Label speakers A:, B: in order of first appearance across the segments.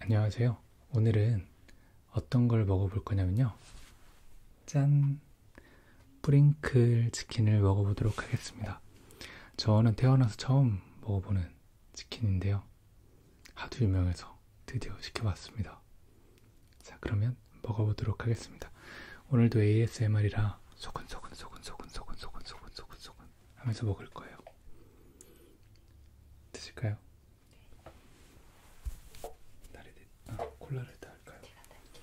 A: 안녕하세요. 오늘은 어떤 걸 먹어볼 거냐면요. 짠! 프링클 치킨을 먹어보도록 하겠습니다. 저는 태어나서 처음 먹어보는 맛있는 치킨인데요. 하도 유명해서 드디어 시켜봤습니다. 자, 그러면 먹어보도록 하겠습니다. 오늘도 ASMR이라 소근소근소근소근소근소근소근소근 하면서 먹을 거예요. 드실까요? 네. 다리 대... 아, 콜라를 다 할까요? 제가 달게.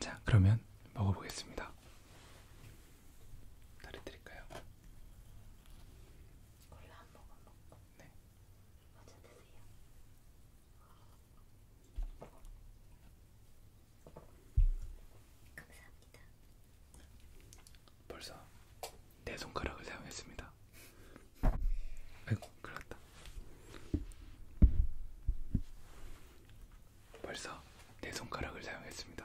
A: 자, 그러면 먹어보겠습니다. 다리 드릴까요? 콜라 한 모금 먹고. 네. 먼저 드세요. 감사합니다. 벌써 내 손가락을 사용했습니다. 아이고, 큰일났다. 벌써 내 손가락을 사용했습니다.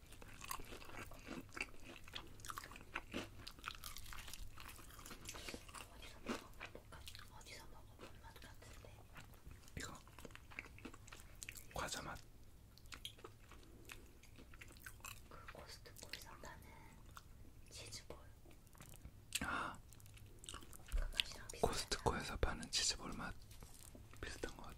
A: 어디서 먹어본 맛? 어디서 먹어본 맛 같은데? 이거 과자 맛. 그 코스트코에서 파는 치즈볼. 아. 그 맛이랑 비슷해. 코스트코에서 파는 치즈볼 맛. 비슷한 것 같아.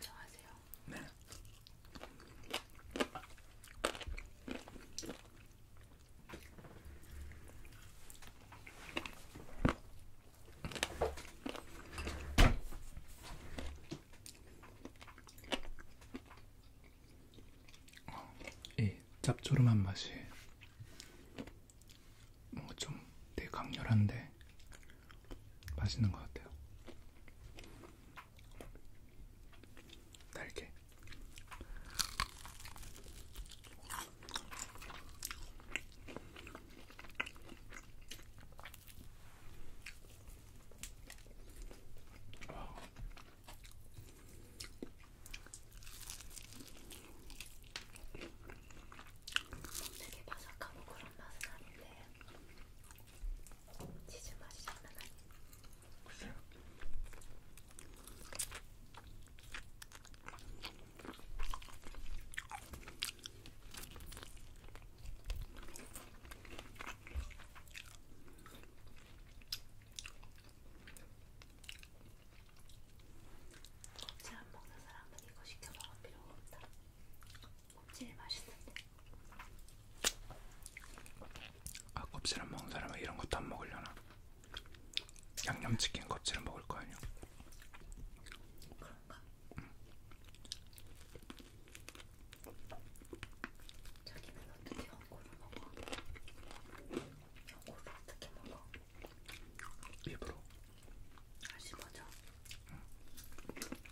A: 진정하세요. 네. 이 짭조름한 맛이 뭐좀 되게 강렬한데 맛있는 것 같아요. 달게. 되게 바삭하고 그런 맛은 아닌데 치즈 맛이 장난 아니야. 글쎄요. 곱창 먹는 사람은 이거 시켜 먹을 필요가 없다. 껍질 맛있는데. 아 껍질 안 먹는 사람은 이런 것도 안 먹으려나? 양념치킨 껍질은 먹을 거 아니야? 그런가? 응. 자기는 어떻게 연고를 먹어? 연고를 어떻게 먹어? 입으로. 아 씹어져. 응.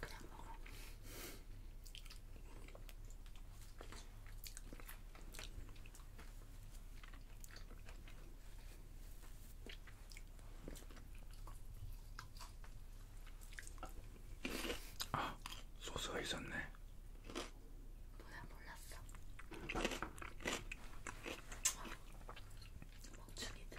A: 그냥 먹어. 아, 소스가 있었네. 뭐야, 몰랐어. 멈추기들.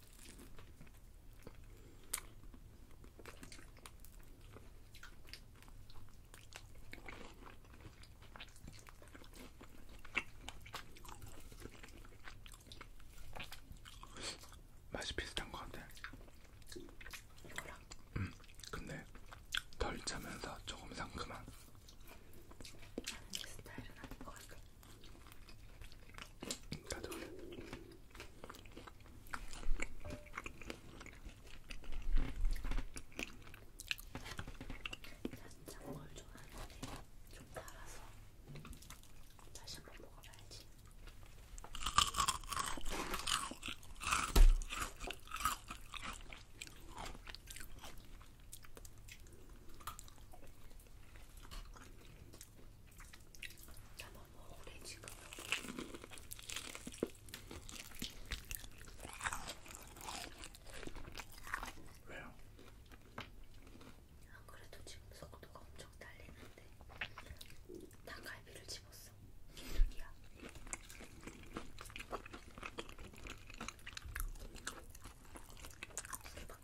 A: 맛이 비슷한 것 같아. 이거랑. 음, 근데 덜 차면서 조금 상큼한. 내 스타일은 아닌 것 같아. 가져오네. 살짝 걸 좋아하는데 좀 달아서 다시 한번 먹어봐야지. 나만 오래 지금. 왜요? 안 그래도 지금 속도가 엄청 달리는데 닭갈비를 집었어. 개소리야. 이렇게 막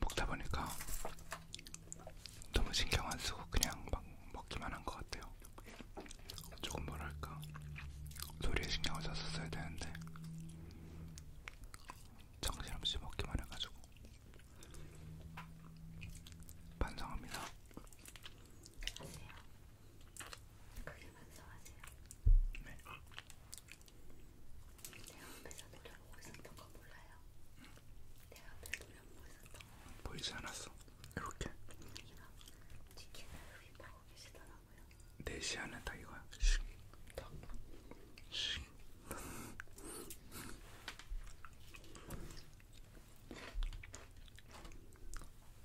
A: 먹다 보니까 너무 신경 안 쓰고 그냥 막 먹기만 한 것 같아요. 조금 뭐랄까 소리에 신경을 썼었어야 되는데 정신없이 먹기만 해가지고 반성합니다. 하세요. 크게 반성하세요. 네. 내가 앞에서 노려보고 있었던 거 몰라요. 내가 앞에서 노려보고 있었던 거. 보이지 않았어. 이렇게. 이거 치킨을 휘파고 계시더라고요. 내 시야는 다 이거야. 슉. 탁. 슉.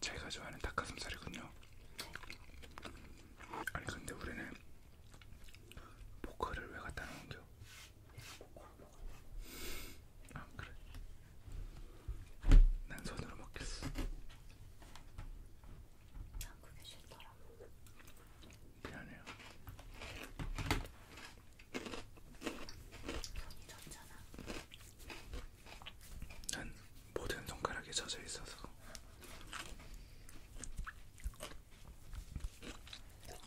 A: 제가 좋아하는 닭가슴살이군요. 아니 근데 우리는 포크를 왜 갖다 놓은겨? 아 그래. 난 손으로 먹겠어. 난 아, 그게 싫더라. 미안해요. 손이 젖잖아. 난 모든 손가락이 젖어 있어서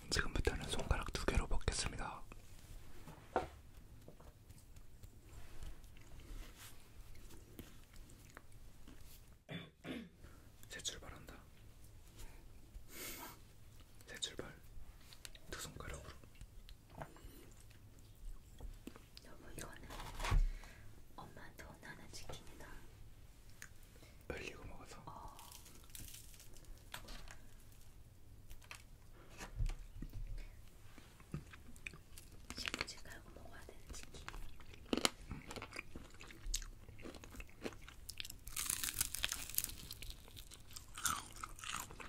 A: 지금부터는 손가락 두 개로 먹겠습니다. 제 출발한다. 새 출발 두 손가락으로 여보 이거는 엄마한테 혼나는 치킨이다 흘리고 먹어서 어. 신부지 깔고 먹어야 되는 치킨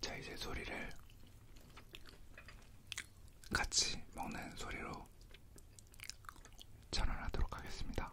A: 자, 이제 소리를 같이 먹는 소리로 전환하도록 하겠습니다.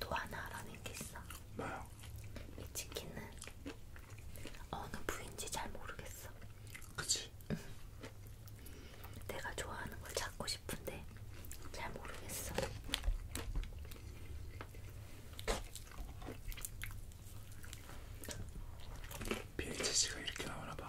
A: 또 하나 알아낸 게 있어. 뭐야? 이 치킨은 어느 부인지 잘 모르겠어. 그치. 내가 좋아하는 걸 찾고 싶은데 잘 모르겠어. BHC가 이렇게 나오나 봐.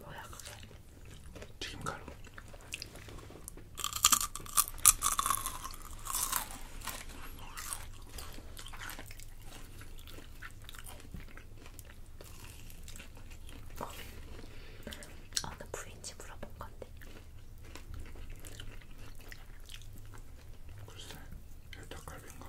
A: 뭐야 그게? 튀김가루. 어. 아, 어느 부인지 물어본 건데. 글쎄, 닭갈비인가?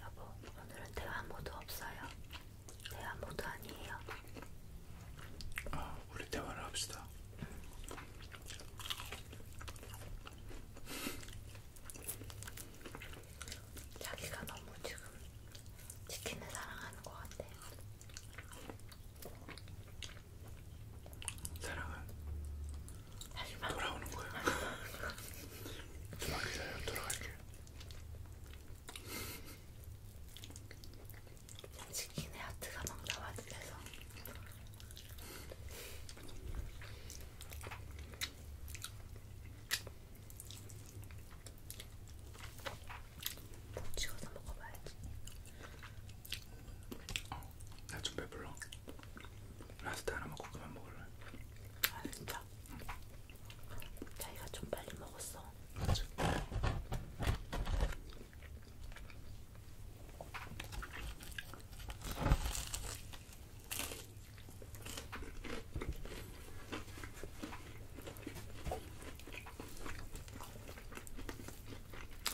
A: 여보, 오늘은 대화 모드 없어요. 대화 모드 아니에요. 아, 우리 대화를 합시다. 자기가 너무 지금 치킨을 사랑하는 것 같아. 사랑은 하지만 돌아오는 거야. 좀만 기다려 돌아갈게. 치킨의 하트가 막 나와 들려서. 꼭 찍어서 먹어봐야지. 어, 나좀 배불러. 라스트 하나 먹고 그만 먹을래. 아 진짜. 응. 자기가 좀 빨리 먹었어. 맞아.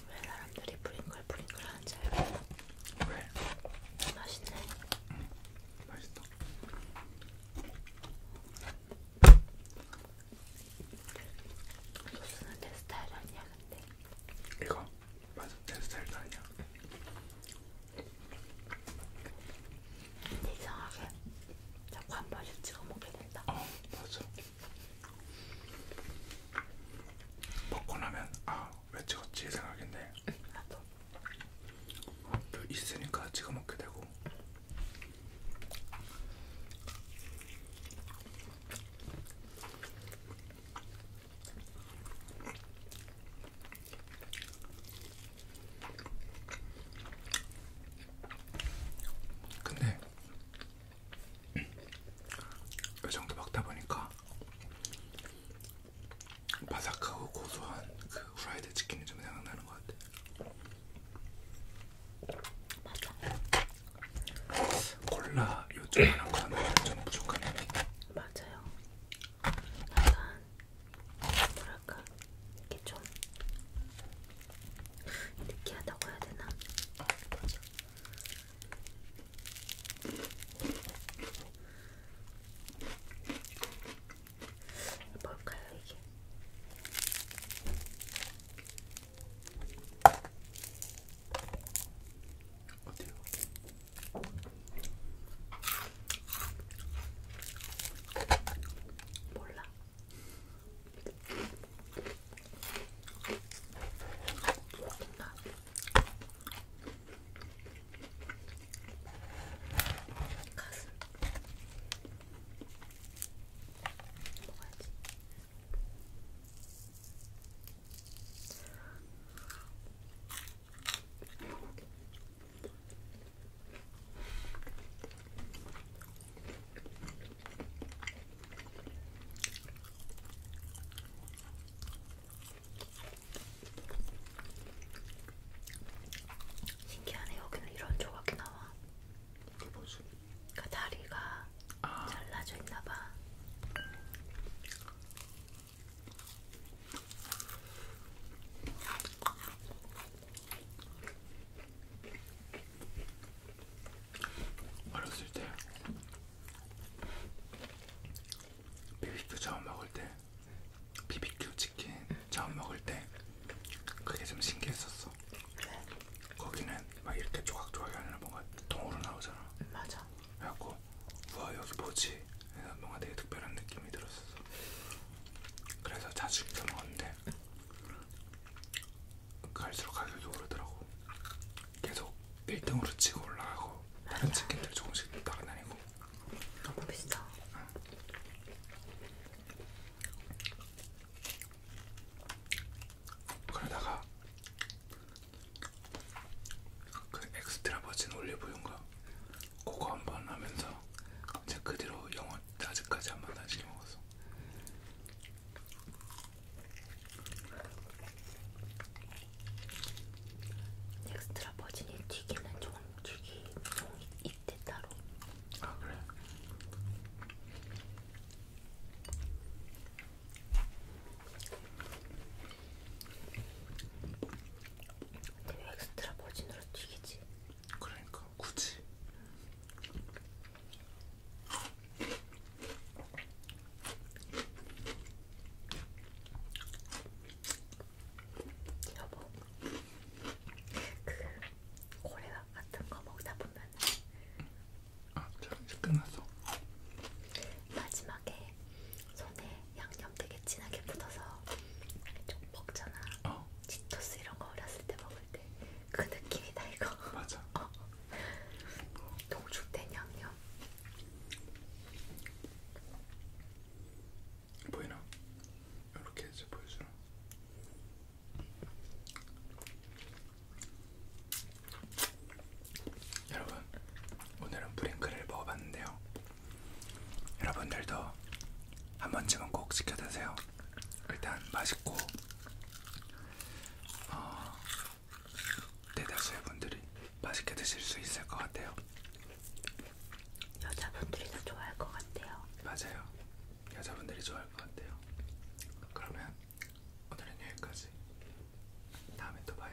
A: 왜 사람들이 프링글 프링글 하는지 알겠다. 왜? 맛있네. 응, 음, 맛있다. 소스는 내 스타일 아니야, 근데. 이거? 맞아, 내 스타일도 아니야. 근데 이상하게 자꾸 한 번씩 찍어 먹게 된다. 어, 맞아. 먹고 나면 아, 왜 찍었지 생각인데. 나도. 또 그 있으니까 찍어 먹게 되고. 근데 이 정도 먹다 보니까 바삭하고 고소한 그 후라이드 치킨이 좀 생각나는 것 같아. 맞아. 콜라 요즘 하는 거는 좀 부족한 느낌. 맞아요. 약간 뭐랄까 이게 좀 느끼하다고 해야 되나? 뭘까요 이게? 어때요? 몰라. 나. 가슴. 먹어야지. 신기하네 여기는 이런 조각이 나와. 그 뭐지? 그러니까 다리가 아. 잘라져 있나봐. 어렸을 때 비비큐 처음 먹을 때 비비큐 치킨 처음 먹을 때 그게 좀 신기했었어. 거기는 막 이렇게 조각조각이 아니라 뭔가 통으로 나오잖아. 맞아. 그래갖고 우와 여기 뭐지? 뭔가 되게 특별한 느낌이 들었었어. 그래서 자주 시켜 먹었는데 갈수록 가격이 오르더라고. 계속 1등으로 치고 올라가고 다른 맞아. 치킨들 조금씩 따라다니고. 너무 비싸. 응. 그러다가 그 엑스트라 버진 올리브유인가 그거 한번 하면서 이제 그 뒤로 영원 아직까지 한번 다 시켜 먹었어. 엑스트라 버진이 튀기는 종 튀기 종이 이때 따로. 아 그래. 근데 왜 엑스트라 버진으로 튀기지? 그러니까 굳이 여보 그 고래밥 같은 거 먹다 보면 아, 자 이제 끝났어 마지막에 손에 양념 되게 진하게 묻어서 좀 먹잖아 어. 맞아. 치토스 이런 거 어렸을 때 먹을 때 그 느낌이다 이거. 맞아. 어. 동죽된 양념. 보이나? 이렇게 해서 보여주나? 여러분 오늘은 브링크를 먹어봤는데요. 여러분들도 한 번쯤은 꼭 시켜 드세요. 일단 맛있고 어, 대다수의 분들이 맛있게 드실 수 있을 것 같아요. 여자분들이 더 좋아할 것 같아요. 맞아요. 여자분들이 좋아할 것 같아요. 그러면 오늘은 여기까지. 다음에 또 봐요.